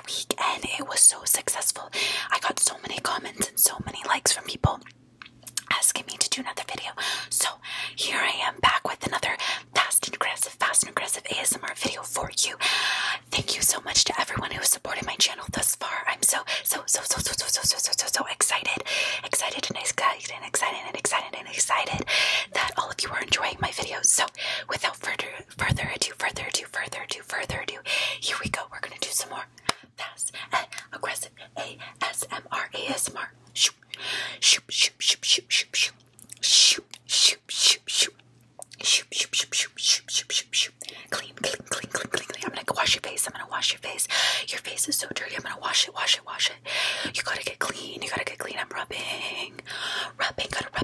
last week and it was so successful. I got so many comments and so many likes from people asking me to do another video. So here I am back with another fast and aggressive, fast and aggressive ASMR video for you. Thank you so much to everyone who supported my channel thus far. I'm so so so so so so so so so so so excited, excited and excited and excited and excited and excited that all of you are enjoying my videos. So without further further ado, further ado, further ado, further ado. Here we go. We're gonna do some more fast and aggressive ASMR ASMR. Shoop, shoop, shoop, shoop, shoop, shoop, shoop, shoop, shoop, shoop, shoop, shoop, shoop, shoop, shoop, shoop, shoop, shoop, shoop. Clean, clean, clean, clean, clean, clean. I'm gonna wash your face. I'm gonna wash your face. Your face is so dirty. I'm gonna wash it, wash it, wash it. You gotta get clean. You gotta get clean. I'm rubbing, rubbing. Gotta rub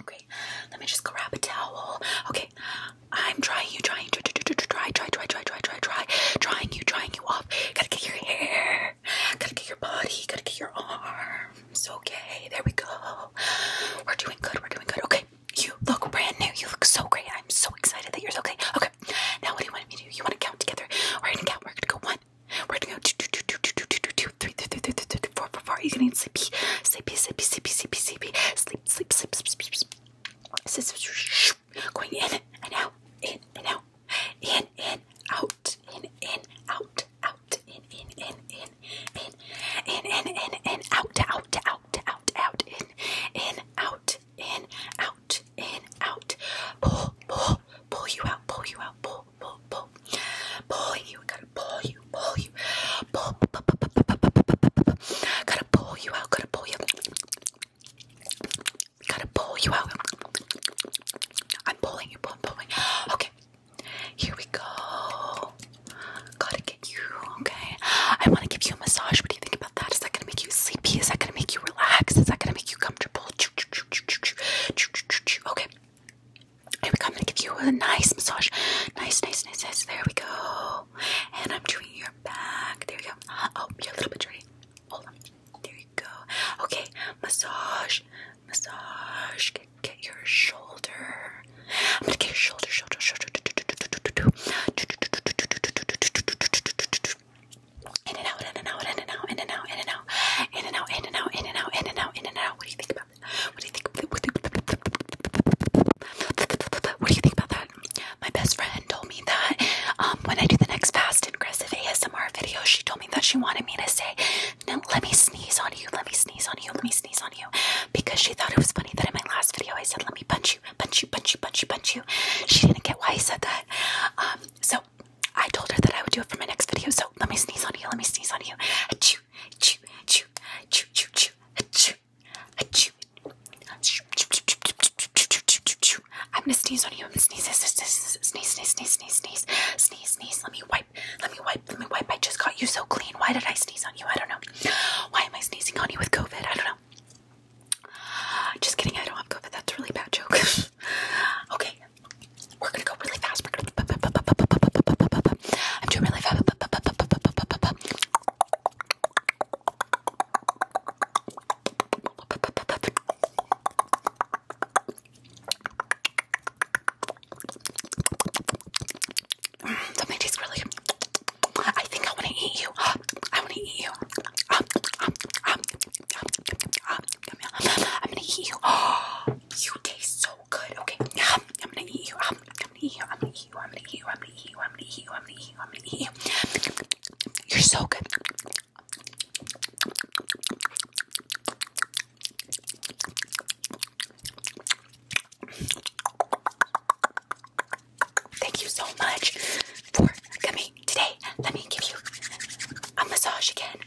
Okay, let me just grab a towel. Okay, I'm trying you, trying, try, try, try, try, try, try, try, try, trying you, trying you off. Gotta get your hair, gotta get your body, gotta get your arms. Okay, there we go. We're doing good, we're doing good. Okay, you look brand new, you look so great. I'm so excited that you're so great. Okay, now what do you want me to do? You want to count together? We're gonna count, we're gonna go one, we're gonna go two, two, two, two, two, two, two, two, three, three, three, three, three, sleep for for for. You're gonna need sleepy, sleepy, sleepy, sleepy, sleepy, sleepy, sleep, sleep, sleep, sleep, sleep, sleep. Going in and out, in and out, in and out, in and out, out, in in in in in in in in in out, out, out, out, out, in in out, in out, in out. Pull, pull, pull you out, pull you out, pull pull, pull, pull, pull you. Gotta pull you, pull you, pull, pull, pull, pull, pull, pull, pull, pull, pull. Gotta pull you out. Gotta pull you. Gotta pull you out. I'm pulling you, pulling, pulling. Okay, here we go. Gotta get you. Okay, I want to give you a massage. What do you think about that? Is that gonna make you sleepy? Is that gonna make you relax? Is that gonna make you comfortable? Okay, here we go. I'm gonna give you a nice massage. Nice, nice, nice, nice. There we go. And I'm doing your back. There you go. Uh, oh, you're a little bit dirty. Hold on. There you go. Okay, massage, massage. Get, get your shoulder. I'm gonna get your shoulder, shoulder, shoulder. In and out, in and out, in and out, in and out, in and out, in and out, in and out, in and out, in and out. What do you think about? What do you think? What do you think about that? My best friend told me that um, when I do the next fast and aggressive ASMR video, she told me that she wanted me to say, "Let me sneeze on you. Let me sneeze on you. Let me sneeze on you," because she thought it was funny that in my last video I said, "Let me punch you, punch you, punch you, punch you, punch you." She didn't get why I said that. Um, so I told her that I would do it for my next video. So let me sneeze on you. Let me sneeze on you. Achoo achoo, achoo, achoo, achoo, achoo, achoo, achoo. I'm gonna sneeze on you. I'm gonna sneeze, sneeze, sneeze, sneeze, sneeze, sneeze, sneeze, sneeze, sneeze. Let me wipe. Let me wipe. Let me wipe. I just got you so clean. Why did I sneeze on you? I don't know. Why am I sneezing on you with COVID? I don't know. Just kidding. I don't have COVID. That's a really bad joke. okay. We're gonna go really fast. We're gonna. I'm doing really fast. something tastes really. I think I want to eat you. I want to eat you. I'm gonna eat you. you taste so good. Okay, um, I'm gonna eat you. Um, I'm gonna eat you. I'm gonna eat you. I'm gonna eat you. I'm gonna eat you. I'm gonna eat you. I'm gonna eat you. I'm gonna eat you. You're so good. Thank you so much for coming today. Let me give you a massage again.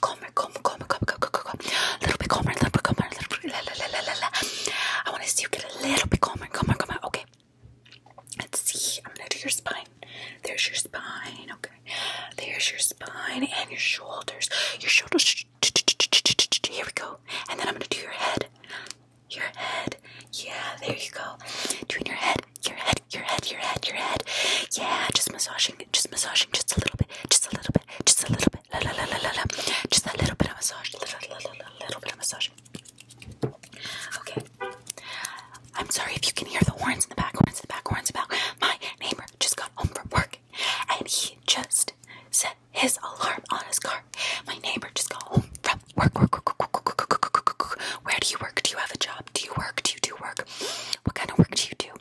calmer, calmer, calmer, calmer, calmer, calmer, calmer, little bit calmer, little bit calmer, little bit. La, la, la, la, la. I want to see you get a little bit calmer, calmer, calmer. Okay, let's see. I'm gonna do your spine. There's your spine. Okay, there's your spine and your shoulders. Your shoulders. Here we go. And then I'm gonna do your head. Your head. Yeah, there you go. Doing your head. Your head. Your head. Your head. Your head. Yeah, just massaging. Just massaging just a little bit, just a little bit, just a little bit, la la la la la la, just a little bit of massage, little, little, little, little bit of massage. Okay. I'm sorry if you can hear the horns in the back, horns in the back, horns in the back. My neighbor just got home from work, and he just set his alarm on his car. My neighbor just got home from work, work, work, work, work, work, work, work, work. Where do you work? Do you have a job? Do you work? Do you do work? What kind of work do you do?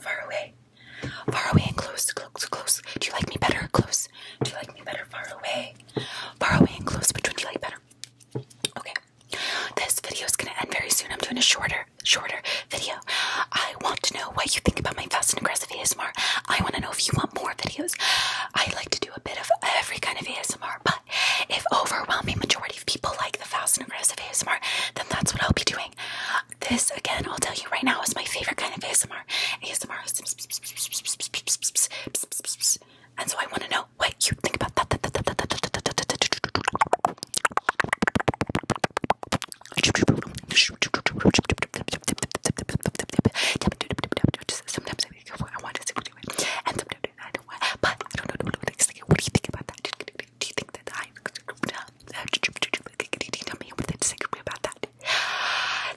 Far away. Far away and close. Close, close. Do you like me better? Close. Do you like me better? Far away. Far away and close. Which one do you like better? Okay. This video is going to end very soon. I'm doing a shorter, shorter video. I want to know what you think about my fast and aggressive ASMR. I want to know if you want more videos. I like to do a bit of every kind of ASMR, but if overwhelming majority of people like the fast and aggressive ASMR, then that's what I'll be doing this again, I'll tell you right now, is my favorite kind of ASMR. ASMR and so I want to know what you think about that. Sometimes I want to and sometimes I don't But I don't know what do you think about that? do you think that I'm tell me what they disagree with me about that?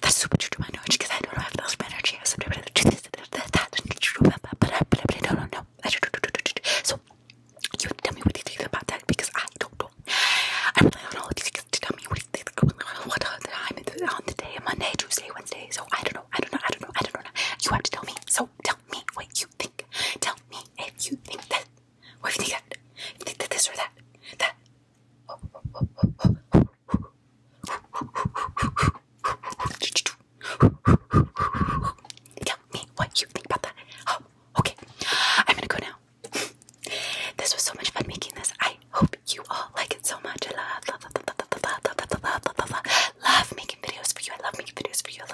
That's super true to my knowledge because I don't know if that's my energy has something to do with that, but I but I don't know. So you have to tell me what you think about that because I don't know. I really don't know what you think to tell me what you think what time on the day, Monday, Tuesday, Wednesday, so I don't know, I don't know, I don't know, I don't know. You have to tell me. So tell me what you think. Tell me if you think that what do you think that? you think that this or that? That? Tell me what you think about that. okay. I'm gonna go now. this was so much fun making this. I hope you all like it so much. I love, love, love, love, love, love, love, love, love, love, love, making videos for you. I love making videos for you